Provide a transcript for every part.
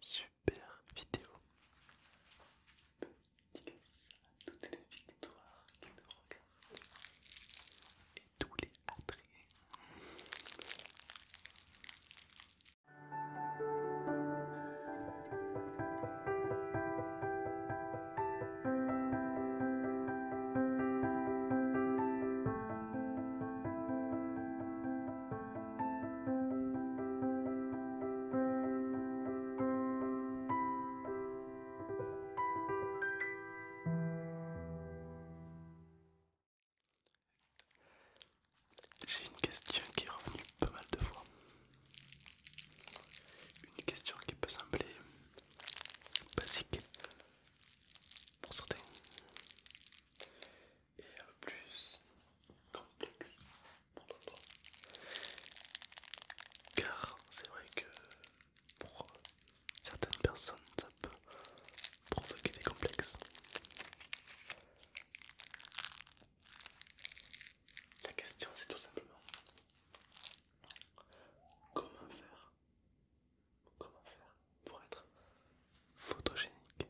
Super vidéo. à toutes les victoires qui nous regardent et tous les attriés. J'ai une question qui est revenue pas mal de fois. Une question qui peut sembler basique, pour certains et peu plus complexe pour d'autres car c'est vrai que pour euh, certaines personnes ça peut provoquer des complexes la question c'est tout simplement comment faire Comment faire pour être photogénique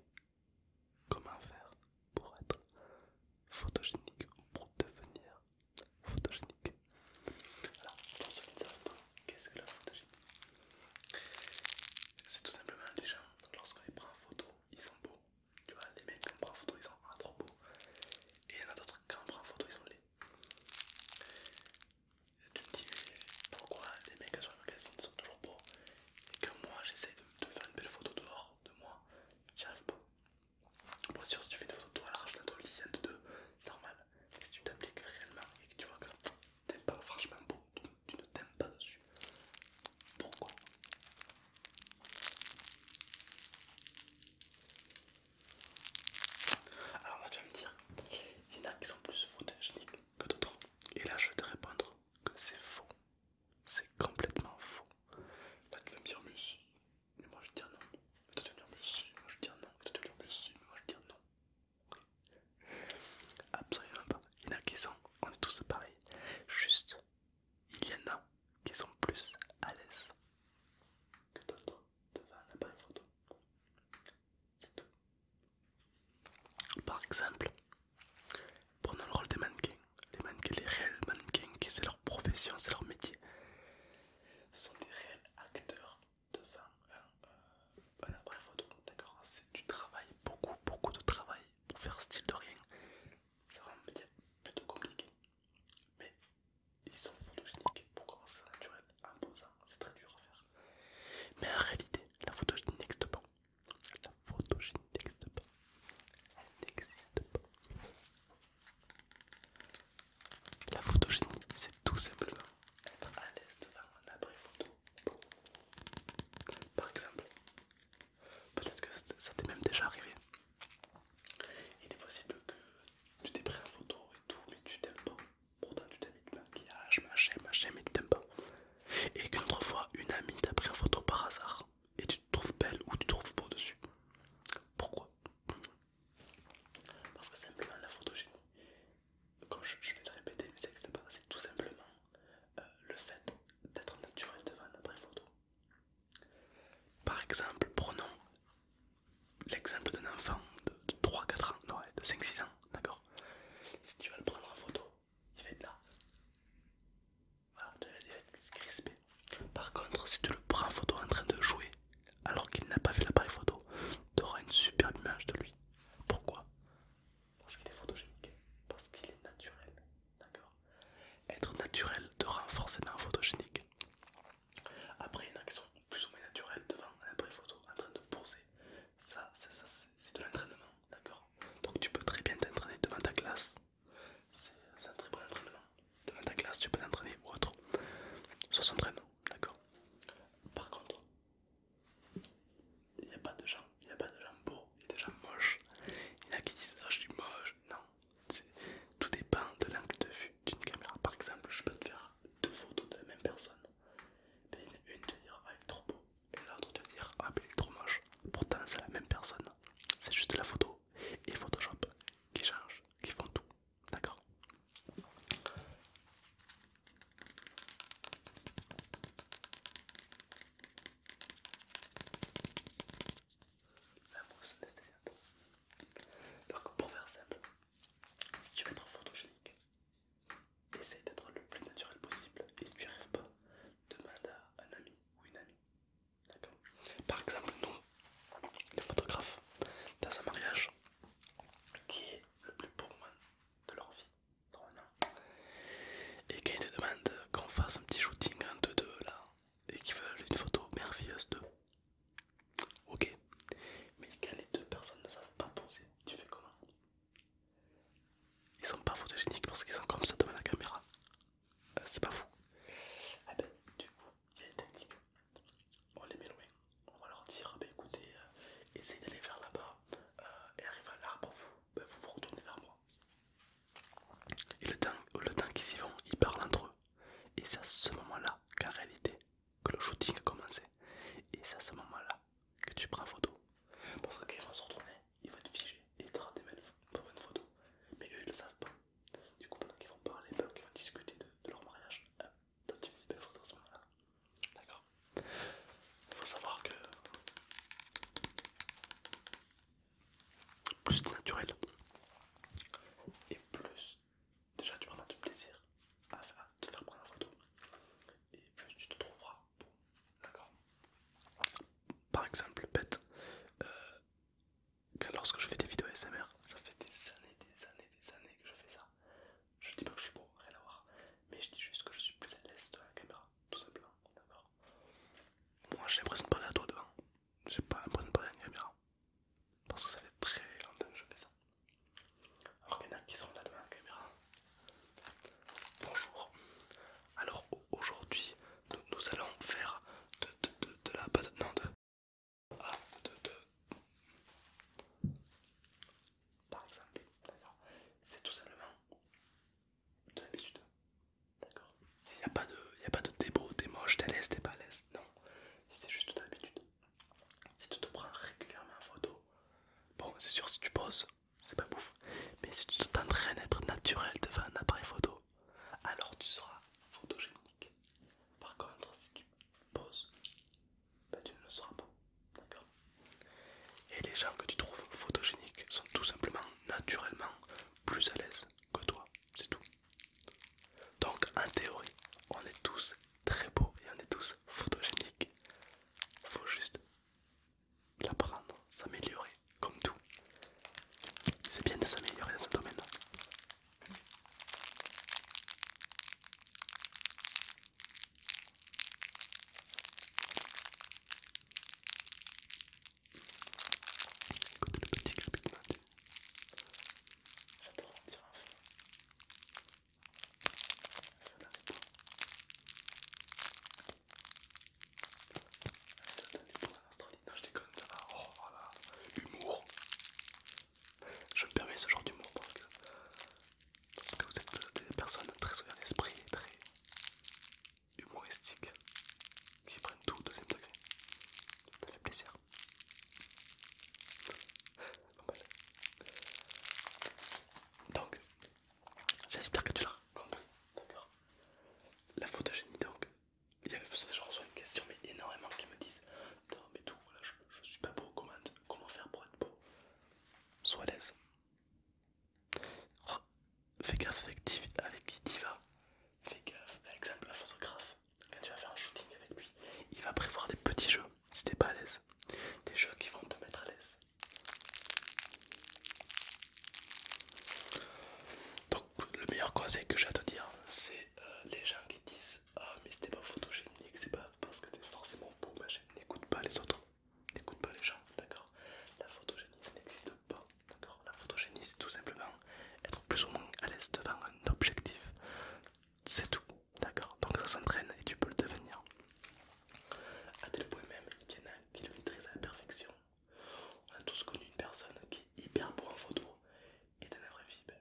Comment faire pour être photogénique ou pour devenir photogénique Alors, pour ceux qui ne savent pas, qu'est-ce que la photogénie C'est tout simplement les gens, lorsqu'on les prend en photo, ils sont beaux. Tu vois, les mecs on prend en photo, ils sont trop beaux. Et il y en a d'autres, quand on prend en photo, ils sont les tu me dis pourquoi les mecs sur les sont toujours beaux et que moi j'essaye de, faire une belle photo dehors de moi, j'arrive pas. moi sûr, si tu fais une photo de toi large, d'un de deux, c'est normal. Mais si tu t'appliques réellement et que tu vois que t'es pas franchement beau, tu, ne t'aimes pas dessus, pourquoi Alors là, tu vas me dire, il y en a qui sont plus photogéniques que d'autres. Et là, je vais te répondre que c'est faux. C'est complètement faux. tu vas me dire, mais Mais moi, je vais te dire non. tu mais Moi, je dis non. tu vas me dire, mais moi, je dis non. Absolument pas. Il y en a qui sont, on est tous pareils. Juste, il y en a qui sont plus à l'aise que d'autres devant un appareil photo. C'est tout. Par exemple, prenons le rôle des mannequins. Les mannequins, les réels mannequins, c'est leur profession, c'est leur métier. Ce sont des réels acteurs de un, euh, appareil euh, photo. D'accord C'est du travail, beaucoup, beaucoup de travail pour faire style de rien. C'est vraiment un métier plutôt compliqué. Mais ils sont photogéniques pour commencer naturel imposant, C'est très dur à faire. Mais en réalité, la photogénie n'existe pas. La photogénie n'existe pas. Elle n'existe pas. La photogénie, c'est tout simplement être à l'aise devant un abri photo. Par exemple, peut-être que ça t'est même déjà arrivé. Il est possible que tu t'es pris en photo et tout, mais tu t'aimes pas. Pourtant tu mis de maquillage, machin, machin, mais tu t'aimes pas. Et qu'une autre fois, une amie t'a pris en photo par hasard et tu te trouves belle ou tu te trouves beau dessus. Pourquoi Parce que simplement la photogénie, comme je, vais le répéter, mais c'est tout simplement euh, le fait d'être naturel devant un après photo. Par exemple, prenons l'exemple d'un enfant de, 3-4 ans, non, de 5-6 ans, d'accord si tu vas le prendre en photo, il va être là. Voilà, tu vas être crispé. Par contre, si tu le prends en photo en train de jouer, alors qu'il n'a pas vu l'appareil photo, tu auras une superbe image de lui. Pourquoi Parce qu'il est photogénique, parce qu'il est naturel, d'accord Être naturel te rend forcément photogénique. Après une action plus ou moins naturel devant la pré photo en train de poser. Ça, c'est de l'entraînement, d'accord Donc tu peux très bien t'entraîner devant ta classe. C'est un très bon entraînement. Devant ta classe, tu peux t'entraîner ou autre. Ça s'entraîne, d'accord Par contre, il n'y a pas de gens, il n'y a pas de gens beaux, il y a des gens moches. Il y en a qui disent, ah je suis moche. Non, tout dépend de l'angle de vue d'une caméra. Par exemple, je peux te faire deux photos de la même personne. Ben, une te dire ah trop beau et l'autre te dire ah il ben, est trop moche. Pourtant c'est la même personne, c'est juste la photo et Photoshop qui changent, qui font tout, d'accord donc pour faire simple, si tu veux être photogénique, Essaye d'être le plus naturel possible et si tu n'y arrives pas, demande à un ami ou une amie. D'accord Par exemple, nous, les photographes, dans un mariage qui est le plus beau moment de leur vie, normalement, et qui te demandent qu'on fasse un petit shooting en deux là, et qui veulent une photo merveilleuse d'eux. Ok, mais quand les deux personnes ne savent pas poser tu fais comment Ils sont pas photogéniques parce qu'ils sont comme ça devant la caméra. Euh, c'est pas fou. Ah ben, du coup, il y On les met loin. On va leur dire, ah ben, écoutez, euh, essayez d'aller vers là-bas euh, et arrive à l'arbre, vous, ben, vous vous retournez vers moi. Et le temps, le temps qu'ils y vont, ils parlent entre eux. Et c'est à ce moment-là qu'en réalité, que le shooting a commencé, Et c'est à ce moment-là que tu prends photo. Parce qu'ils quand vont se retourner, ils vont être figés et ils te rendent une photo. Mais eux ils le savent pas. Du coup, pendant qu'ils vont parler, pendant qu'ils vont discuter de, leur mariage, tu fais une belle photo à ce moment-là. D'accord Il faut savoir que plus c'est naturel et plus déjà tu prendras du plaisir à, te faire prendre la photo et plus tu te trouveras bon d'accord par exemple bête euh, lorsque je fais des vidéos SMR ça fait des années des années des années que je fais ça je dis pas que je suis beau rien à voir mais je dis juste que je suis plus à l'aise devant la caméra tout simplement d'accord moi j'ai l'impression de parler à toi devant j'ai pas l'impression de parler à une caméra parce que ça fait très longtemps que je fais ça alors qu'il y en a qui seront là devant la caméra. Bonjour. Alors aujourd'hui, nous, allons faire de, de, de, de la patate. Non, de. Ah, de. de par exemple, d'accord C'est tout simplement de l'habitude. D'accord Il n'y a pas de, il y a pas de t'es beau, t'es moche, t'es à l'aise, pas à Non, c'est juste de l'habitude. Si tu te prends régulièrement en photo, bon, c'est sûr, si tu poses, c'est pas bouffe, mais si tu t'entraînes être naturel devant un appareil photo, alors tu seras photogénique. Par contre, si tu poses, ben, tu ne le seras pas. D'accord Et les gens que tu trouves photogéniques sont tout simplement naturellement plus à l'aise que toi, c'est tout. Donc en théorie, on est tous très beau et on est tous photogéniques. Faut juste l'apprendre, s'améliorer, comme tout. C'est bien de s'améliorer dans ce domaine. Écoute le petit J'adore en dire Rien à répondre. Allez, donne du à Non, je déconne, ça va. Oh, voilà. Humour. Je me permets ce genre d'humour parce que, vous êtes euh, des personnes très souveraines d'esprit et très humoristiques qui prennent tout au deuxième degré. Ça fait plaisir. Donc, j'espère que tu l'as compris, d'accord La photogénie, donc, il y avait, je reçois une question, mais énormément qui me disent Non, mais tout, voilà, je, suis pas beau, comment, faire pour être beau Sois à l'aise. fais gaffe avec, Diva, Fais gaffe, par exemple, un photographe, quand tu vas faire un shooting avec lui, il va prévoir des petits jeux si t'es pas à l'aise. Des jeux qui vont te mettre à l'aise. Donc le meilleur conseil que j'ai à te dire, c'est euh, les gens qui disent Ah mais c'était pas photogénique, c'est pas parce que t'es forcément beau, machin. N'écoute pas les autres, n'écoute pas les gens, d'accord La photogénie, ça n'existe pas, d'accord La photogénie, c'est tout simplement être plus ou moins à l'aise devant un objectif, c'est tout. D'accord Donc ça s'entraîne et tu peux le devenir. à tel point même qu'il y en a qui le maîtrisent à la perfection. On a tous connu une personne qui est hyper beau en photo et dans la vraie vie, ben.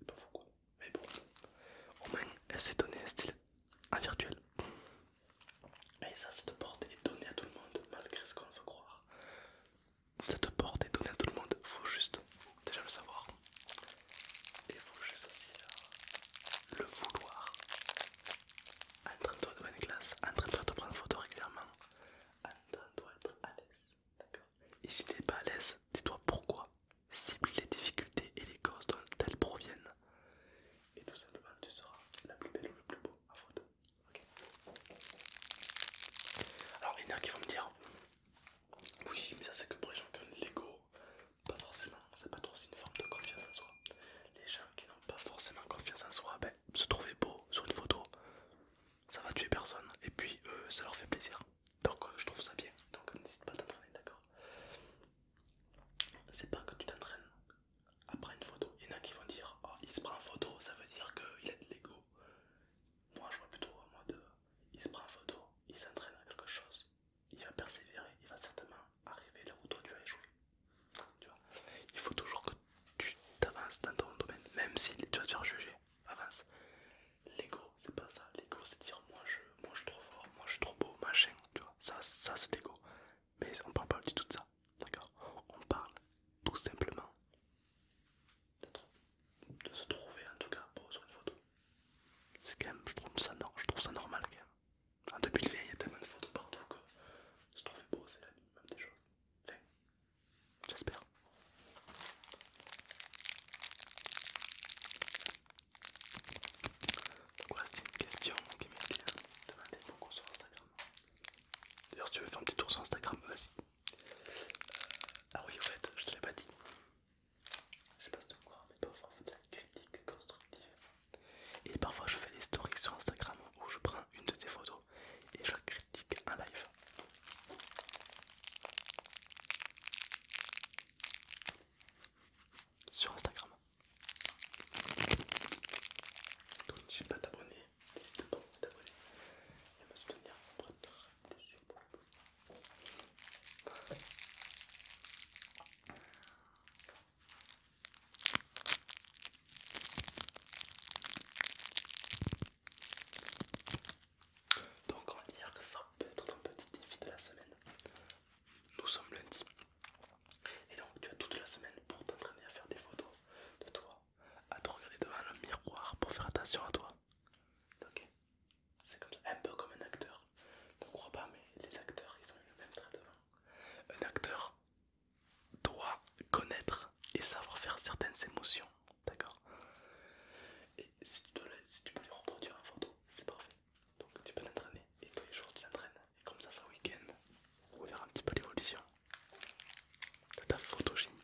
C'est pas fou quoi. Mais bon, au moins elle s'est donné un style en virtuel. Et ça, cette porte est donnée à tout le monde malgré ce qu'on veut croire. Cette porte est donnée à tout le monde, faut juste déjà le savoir. Et il faut juste aussi euh, le vouloir. En train de toi donner une classe, en train de toi te prendre photo régulièrement, en train de toi être à l'aise. D'accord. Et si t'es pas à l'aise, dis-toi pourquoi. Cible les difficultés et les causes dont elles proviennent. Et tout simplement, tu seras la plus belle ou le plus beau à photo. Alors, il y en a qui vont me dire oui, mais ça c'est que pour les gens qui ont de l'ego, pas forcément, c'est pas trop aussi une forme de confiance en soi. Les gens qui n'ont pas forcément confiance en soi, ben, se trouver beau sur une photo, ça va tuer personne, et puis euh, ça leur fait plaisir. Donc euh, je trouve ça bien, donc n'hésite pas à t'entraîner, d'accord C'est pas que tu t'entraînes après une photo. Il y en a qui vont dire, oh, il se prend en photo, ça veut dire qu'il a de l'ego. Moi je vois plutôt moi de il se prend en photo, il s'entraîne à quelque chose, il va persévérer, il va certainement arriver là où toi tu as échoué. Tu vois il faut toujours que tu t'avances dans ton domaine, même si tu vas te faire juger, avance. L'ego, c'est pas ça. L'ego, c'est dire moi je, moi suis trop fort, moi je suis trop beau, machin, tu vois. Ça, ça c'est l'ego. Mais on parle pas du tout de ça, d'accord On parle tout simplement de se trouver en tout cas beau sur une photo. C'est quand même, je trouve ça, normal quand même. En 2020, il y a tellement de photos partout que se trouver beau, c'est la même des choses. j'espère. Quoi, c'est une question qui m'est bien demandée beaucoup sur Instagram. D'ailleurs, si tu veux faire un petit tour sur Instagram, vas-y. Euh, ah oui, au fait, je te l'ai pas dit. Je sais pas si tu me crois, mais parfois on de la critique constructive. Et parfois je fais des stories sur Instagram où je prends une de tes photos et je critique en live. Sur Instagram. Donc n'hésite pas à t'abonner, n'hésite pas à t'abonner et me soutenir donc on va dire que ça peut être ton petit défi de la semaine. Nous sommes lundi. Et donc tu as toute la semaine pour t'entraîner à faire des photos de toi, à te regarder devant le miroir pour faire attention à toi. Ok c'est un peu comme un acteur. Ne crois pas, mais les acteurs, ils ont eu le même traitement. Un acteur doit connaître et savoir faire certaines émotions, d'accord Et si tu, peux les reproduire en photo, c'est parfait. Donc tu peux t'entraîner et tous les jours tu t'entraînes. Et comme ça, c'est week-end, on verra un petit peu l'évolution de ta photogénie.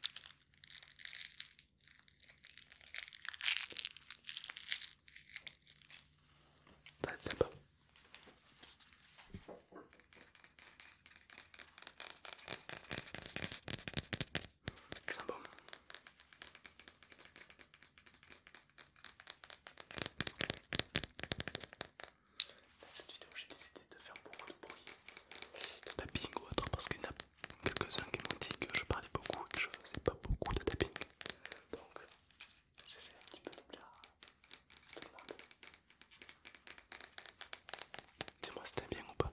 Ça va c'est bon. Dans cette vidéo, j'ai décidé de faire beaucoup de bruit de tapping ou autre parce qu'il n'a pas quelques-uns qui m'ont dit que je parlais beaucoup et que je faisais pas beaucoup de tapping. Donc j'essaie un petit peu de bien Dis-moi c'était bien ou pas.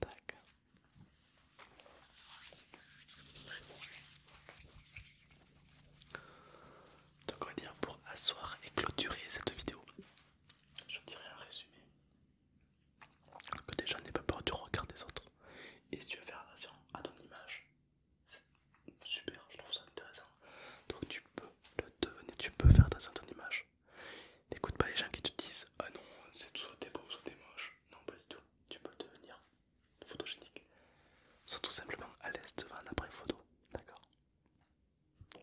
tac Donc on va dire pour asseoir et clôturer cette vidéo, je dirais un résumé. Que déjà n'aie pas peur du regard des autres. Et si tu veux faire attention à ton image, c'est super, je trouve ça intéressant. Donc tu peux le devenir, tu peux faire attention à ton image. N'écoute pas les gens qui te disent Ah non, c'est soit des beau, soit t'es moche. Non, pas du tout. Tu peux devenir photogénique. Sois tout simplement à l'aise devant un appareil photo. D'accord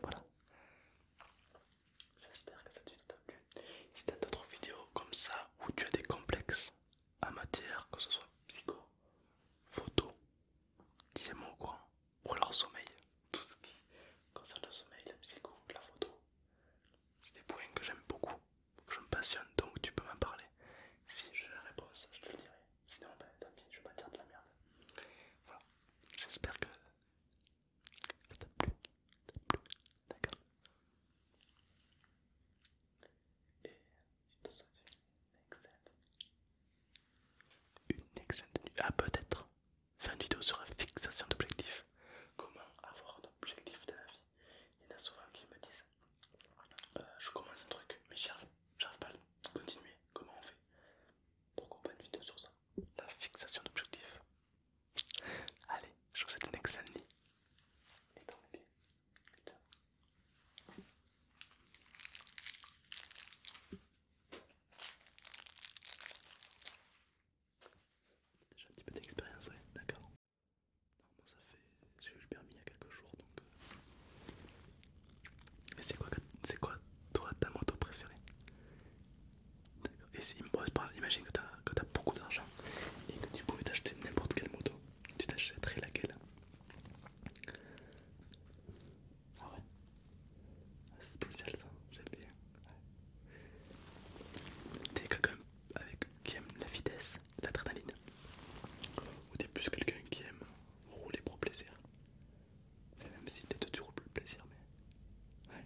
Voilà. J'espère que cette vidéo t'a plu. Si t'as d'autres vidéos comme ça où tu as des complexes en matière, que ce soit psycho, photo, dis-moi au ou leur sommeil, tout ce qui concerne le sommeil, la psycho, la photo. C'est des points que j'aime beaucoup, que je me passionne, donc tu peux m'en parler. Si j'ai la réponse, je te le dirai. Sinon, ben, tant pis, je vais pas dire de la merde. Voilà, j'espère que ça t'a plu, ça t'a plu, d'accord Et je te souhaite une excellente, une excellente nuit. Ah, peut-être, fin une vidéo sur la fixation d'objectifs. Comment avoir un objectif dans la vie Il y en a souvent qui me disent euh, Je commence un truc, mais j'arrive pas à continuer. Comment on fait Pourquoi pas une vidéo sur ça La fixation d'objectifs. Allez, je vous souhaite une excellente nuit. Et tant bien. Déjà un petit peu d'expérience, ouais, d'accord. Normalement, ça fait. J'ai eu le permis il y a quelques jours donc. Euh. Et c'est quoi, quoi toi ta moto préférée D'accord. Et si, bon, pas, imagine que t'as beaucoup d'argent et que tu pouvais t'acheter n'importe quelle moto, tu t'achèterais laquelle Ah ouais c'est spécial ça, j'aime bien. T'es quelqu'un qui aime la vitesse, l'adrénaline. Ou t'es plus quelqu'un qui aime rouler pour plaisir. même si peut-être tu roules pour le plaisir, mais. Ouais.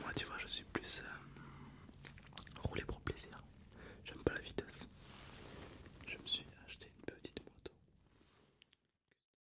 Moi tu vois, je suis plus euh, rouler pour plaisir. J'aime pas la vitesse. Je me suis acheté une petite moto.